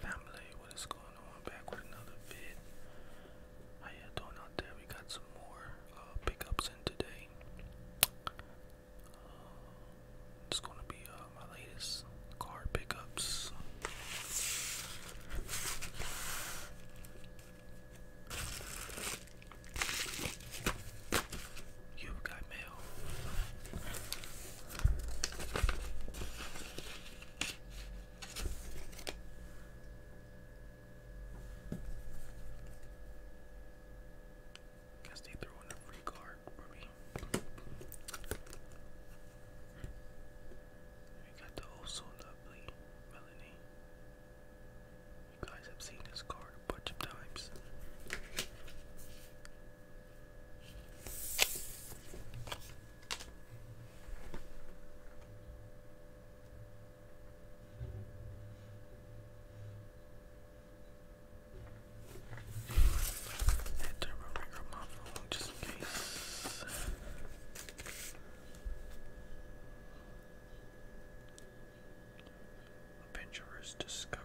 Family, what is going on? Back with another vid. How you doing out there? We got some more uh, pickups in today. Uh, it's gonna be uh, my latest card pickups. You've got mail. Guess they threw in a free card for We got the oh lovely Melanie. You guys have seen this card a bunch of times. That turbo ring on my just in case. Adventurer's Discovery.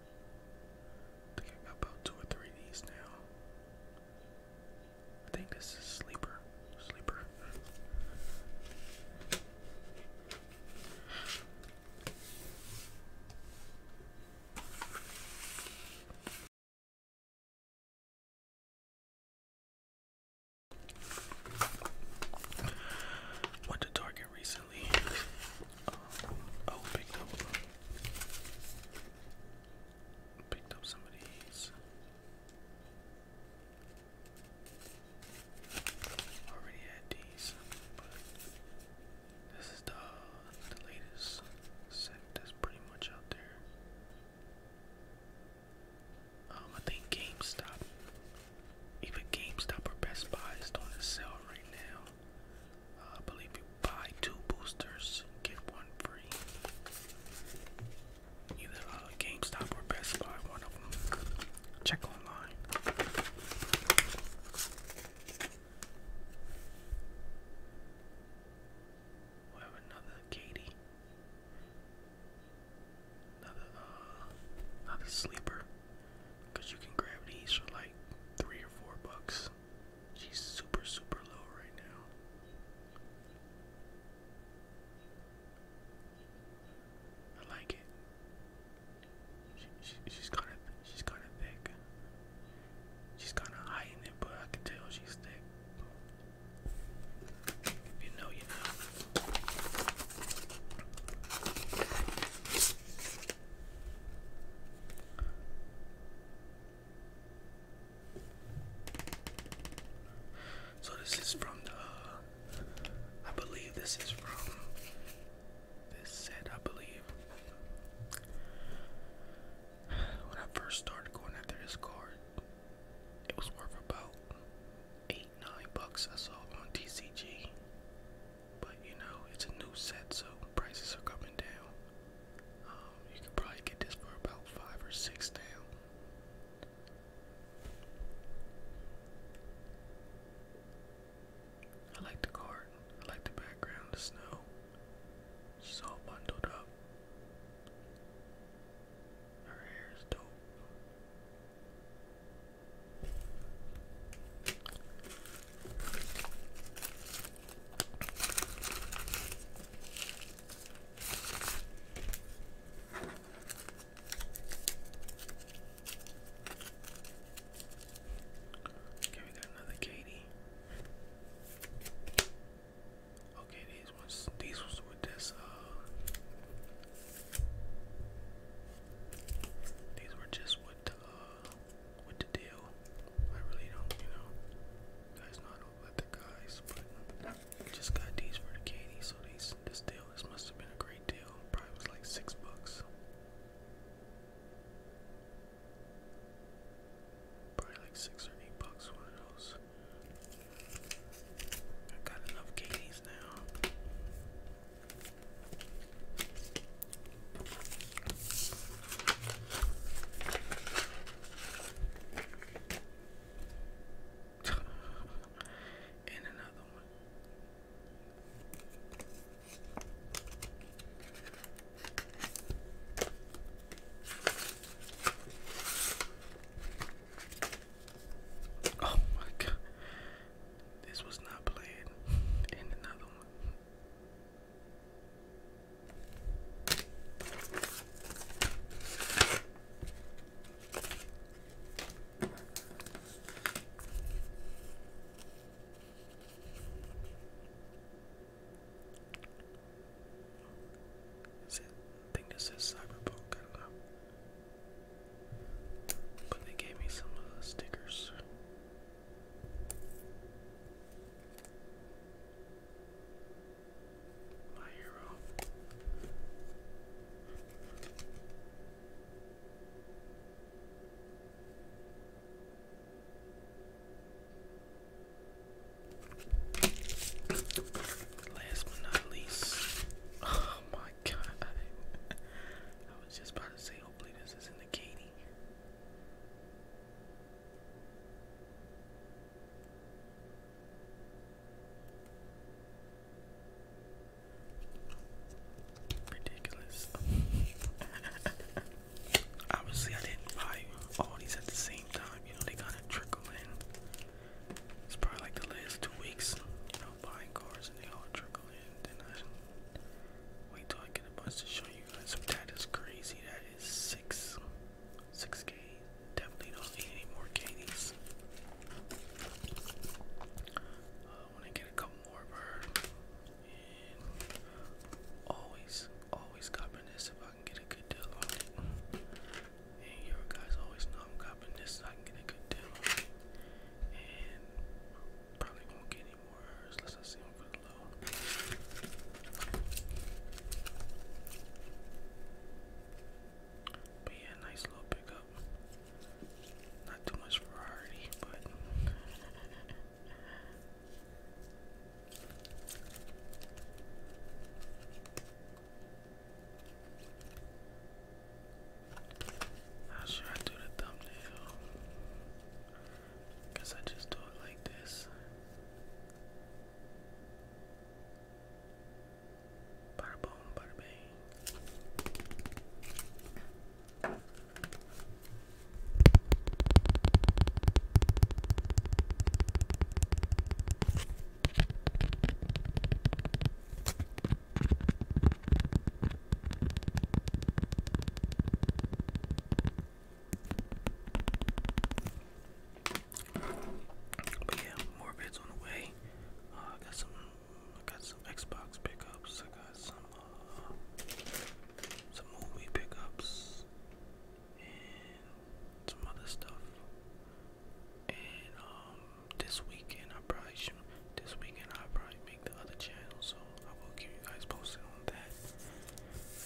I think about two or three of these now. I think this is sleeper. Sleeper. Went to Target recently oh, picked up, picked up some of these. Already had these, but this is the latest set that's pretty much out there. Um, I think GameStop, even GameStop or Best Buy is on a sale right now. I believe you buy two boosters, get one free. Either uh, GameStop or Best Buy, Check online. we have another Katie. Another, uh, another sleeper. you can grab these for like three or four bucks. She's super, super low right now. I like it. She, she's kind of, she's kind of thick. She's kind of high it, but I can tell she's thick. you know, you know. So this is from the I believe this is from this set I believe when I first started going after this card it was worth about eight nine bucks I saw on TCG but you know, it's a new set, so prices are coming down. Um, you could probably get this for about five or six down. I like the card. I like the background, the snow. She's all bundled up. Her hair is dope. Okay, we got another Katie. Okay, these ones, these ones with this, uh, these were just with uh, what to do. I really don't, you know. guys not let the guys, but just got these for the Katie, so these this deal, this must have been a great deal. Probably was like six bucks. Probably like six or eight bucks, one of those. I got enough Katie's now and another one. Oh my god. This was not planned. And another one. Is it? I think this is Cyberpunk. I don't know. But they gave me some stickers. Last but not least, oh my god, I was just about to say, hopefully, this isn't the Katie. Ridiculous. Obviously, I didn't buy all these at the same time. You know, they kind of trickle in. It's probably like the last two weeks, you know, buying cars and they all trickle in. Then I wait till I taking a bus to show you guys. So that is crazy. That is six, six K. Definitely don't need any more Katie's. I uh, want to get a couple more of her. And always, always copping this if I can get a good deal on it. And you guys always know I'm copping this so I can get a good deal on it. And probably won't get any more Let's not see him for the nice little pickup. Not too much variety, but How should I do the thumbnail? Cause I just do it like this. Bada boom, bada bang. But yeah, more bids on the way. Uh, I got some, I got some Xbox pickups. I got some, uh, some movie pickups, and some other stuff. And um, this weekend I probably should. This weekend I probably make the other channel. So I will keep you guys posted on that.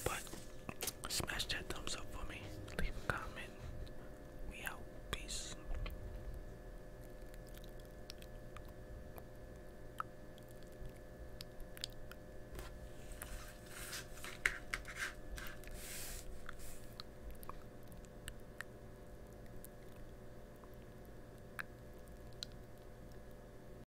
But smash that thumbs up for me. Leave a comment. We out. Peace.